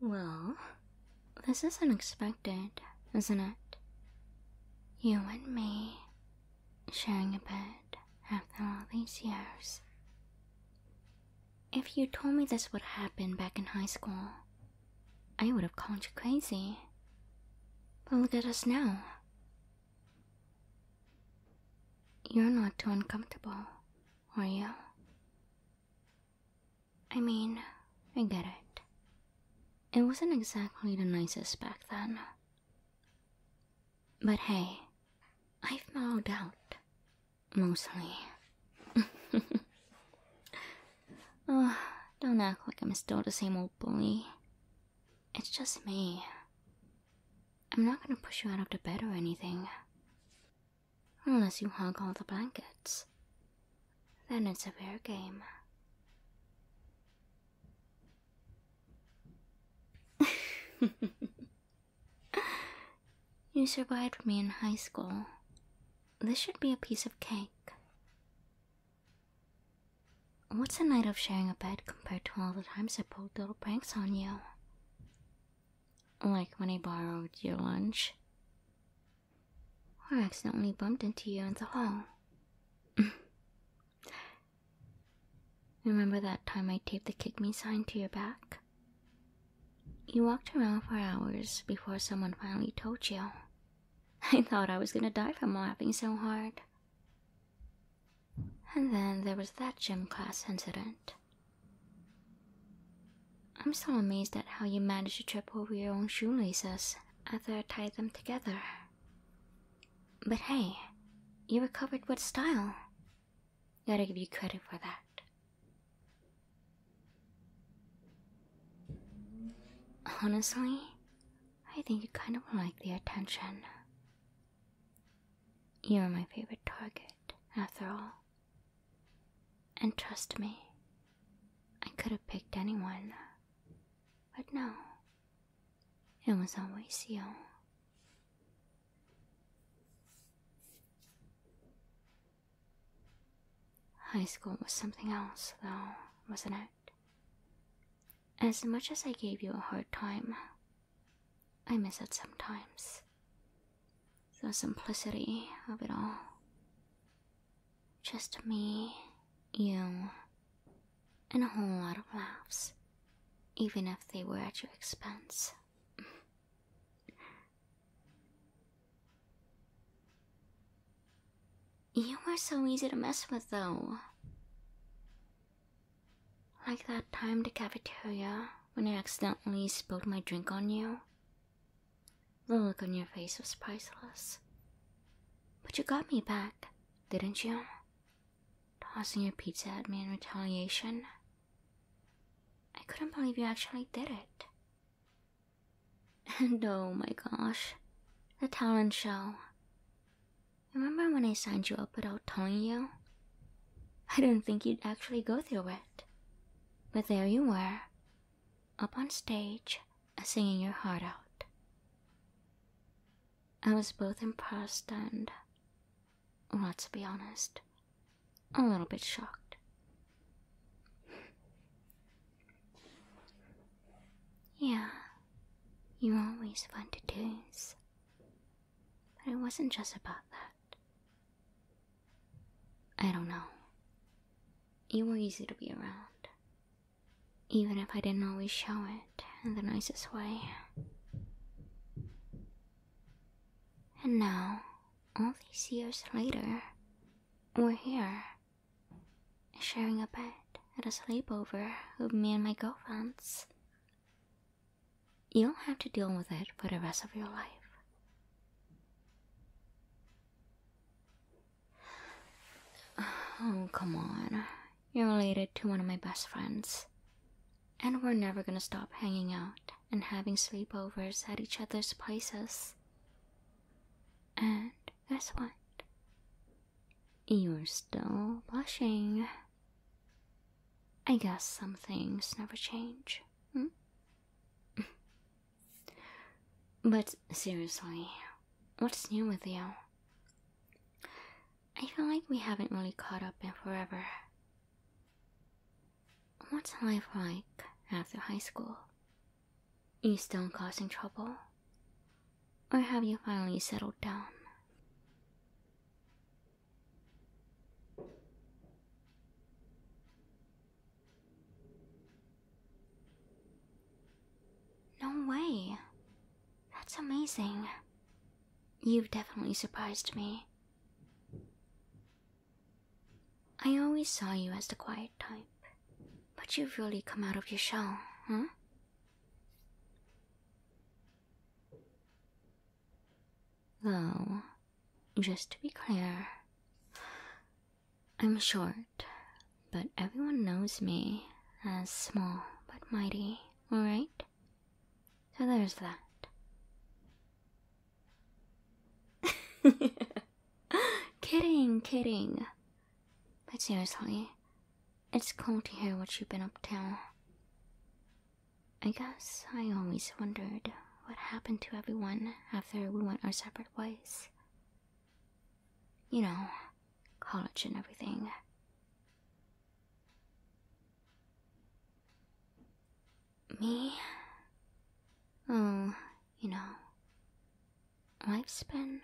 Well, this is unexpected, isn't it? You and me sharing a bed after all these years. If you told me this would happen back in high school, I would have called you crazy. But look at us now. You're not too uncomfortable, are you? I mean, I get it. It wasn't exactly the nicest back then. But hey, I've mellowed out. Mostly. oh, don't act like I'm still the same old bully. It's just me. I'm not going to push you out of the bed or anything. Unless you hug all the blankets. Then it's a fair game. you survived me in high school. This should be a piece of cake. What's a night of sharing a bed compared to all the times I pulled little pranks on you? Like when I borrowed your lunch? Or accidentally bumped into you in the hall? Remember that time I taped the kick me sign to your back? You walked around for hours before someone finally told you. I thought I was gonna die from laughing so hard. And then there was that gym class incident. I'm still amazed at how you managed to trip over your own shoelaces after I tied them together. But hey, you recovered with style. Gotta give you credit for that. Honestly, I think you kind of like the attention. You're my favorite target, after all. And trust me, I could have picked anyone, but no, it was always you. High school was something else, though, wasn't it? As much as I gave you a hard time, I miss it sometimes. The simplicity of it all. Just me, you, and a whole lot of laughs, even if they were at your expense. You were so easy to mess with, though. Like that time in the cafeteria when I accidentally spilled my drink on you. The look on your face was priceless. But you got me back, didn't you? Tossing your pizza at me in retaliation. I couldn't believe you actually did it. And oh my gosh, the talent show. Remember when I signed you up without telling you? I didn't think you'd actually go through with it. But there you were, up on stage, singing your heart out. I was both impressed and, well, to be honest, a little bit shocked. Yeah, you always want to do But it wasn't just about that. I don't know. You were easy to be around. Even if I didn't always show it in the nicest way. And now, all these years later, we're here sharing a bed at a sleepover with me and my girlfriends. You'll have to deal with it for the rest of your life. Oh, come on. You're related to one of my best friends. And we're never gonna stop hanging out and having sleepovers at each other's places. And Guess what? You're still blushing. I guess some things never change. Hmm? but seriously, what's new with you? I feel like we haven't really caught up in forever. What's life like after high school? You still causing trouble? Or have you finally settled down? No way. That's amazing. You've definitely surprised me. I always saw you as the quiet type, but you've really come out of your shell, huh? Though, just to be clear, I'm short, but everyone knows me as small but mighty, alright? So there's that. kidding, kidding. But seriously, it's cool to hear what you've been up to. I guess I always wondered what happened to everyone after we went our separate ways. You know, college and everything. Me? Oh, you know, lifespan,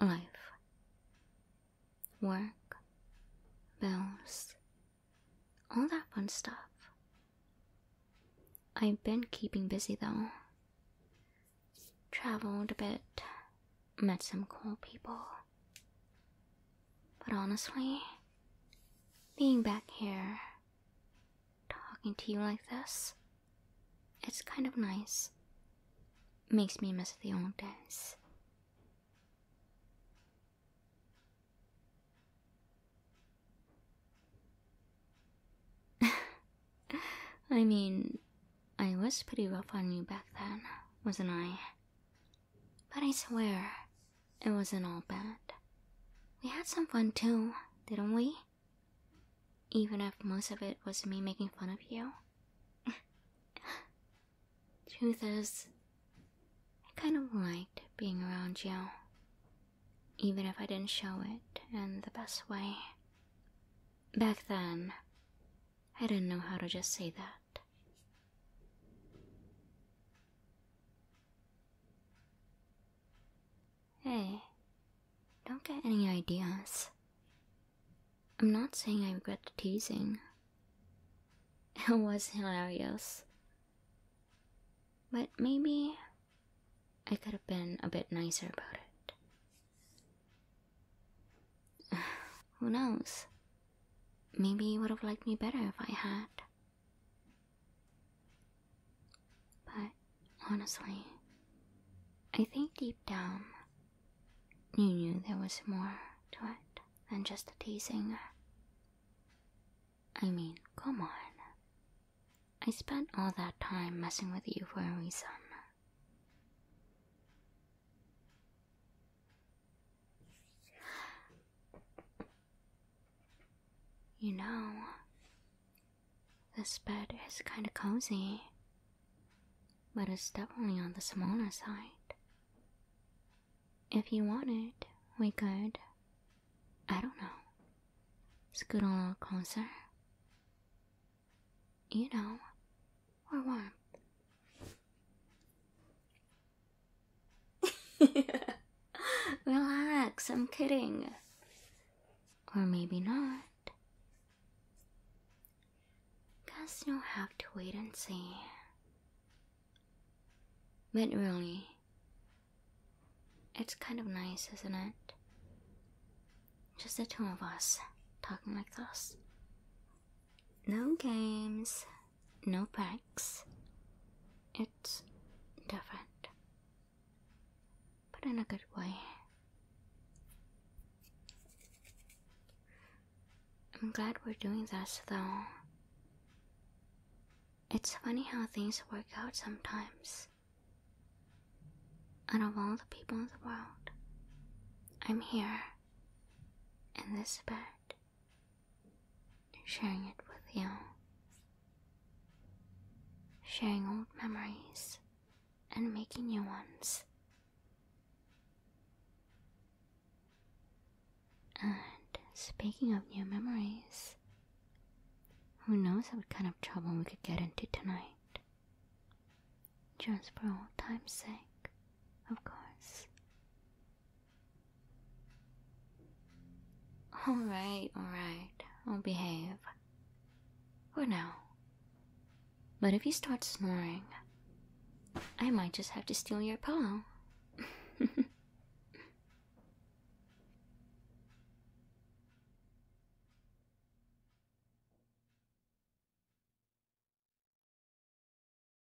life, work, bills, all that fun stuff. I've been keeping busy though. Traveled a bit, met some cool people. But honestly, being back here talking to you like this. It's kind of nice. Makes me miss the old days. I mean, I was pretty rough on you back then, wasn't I? But I swear, it wasn't all bad. We had some fun too, didn't we? Even if most of it was me making fun of you? Truth is, I kind of liked being around you. Even if I didn't show it and the best way. Back then, I didn't know how to just say that. Hey, don't get any ideas. I'm not saying I regret the teasing. It was hilarious. But maybe I could have been a bit nicer about it. Who knows? Maybe you would have liked me better if I had. But honestly, I think deep down, you knew there was more to it than just a teasing. I mean, come on. I spent all that time messing with you for a reason. You know, this bed is kind of cozy, but it's definitely on the smaller side. If you want it, we could, I don't know, scoot a little closer. You know, we're warm. Relax, I'm kidding. Or maybe not. Guess you'll have to wait and see. But really, it's kind of nice, isn't it? Just the two of us talking like this. No games, no bags. It's different, but in a good way. I'm glad we're doing this though. It's funny how things work out sometimes. Out of all the people in the world, I'm here in this bed sharing it with you, sharing old memories and making new ones. And speaking of new memories, who knows what kind of trouble we could get into tonight? Just for old time's sake, of course. Alright, alright, I'll behave. For now. But if you start snoring, I might just have to steal your pillow.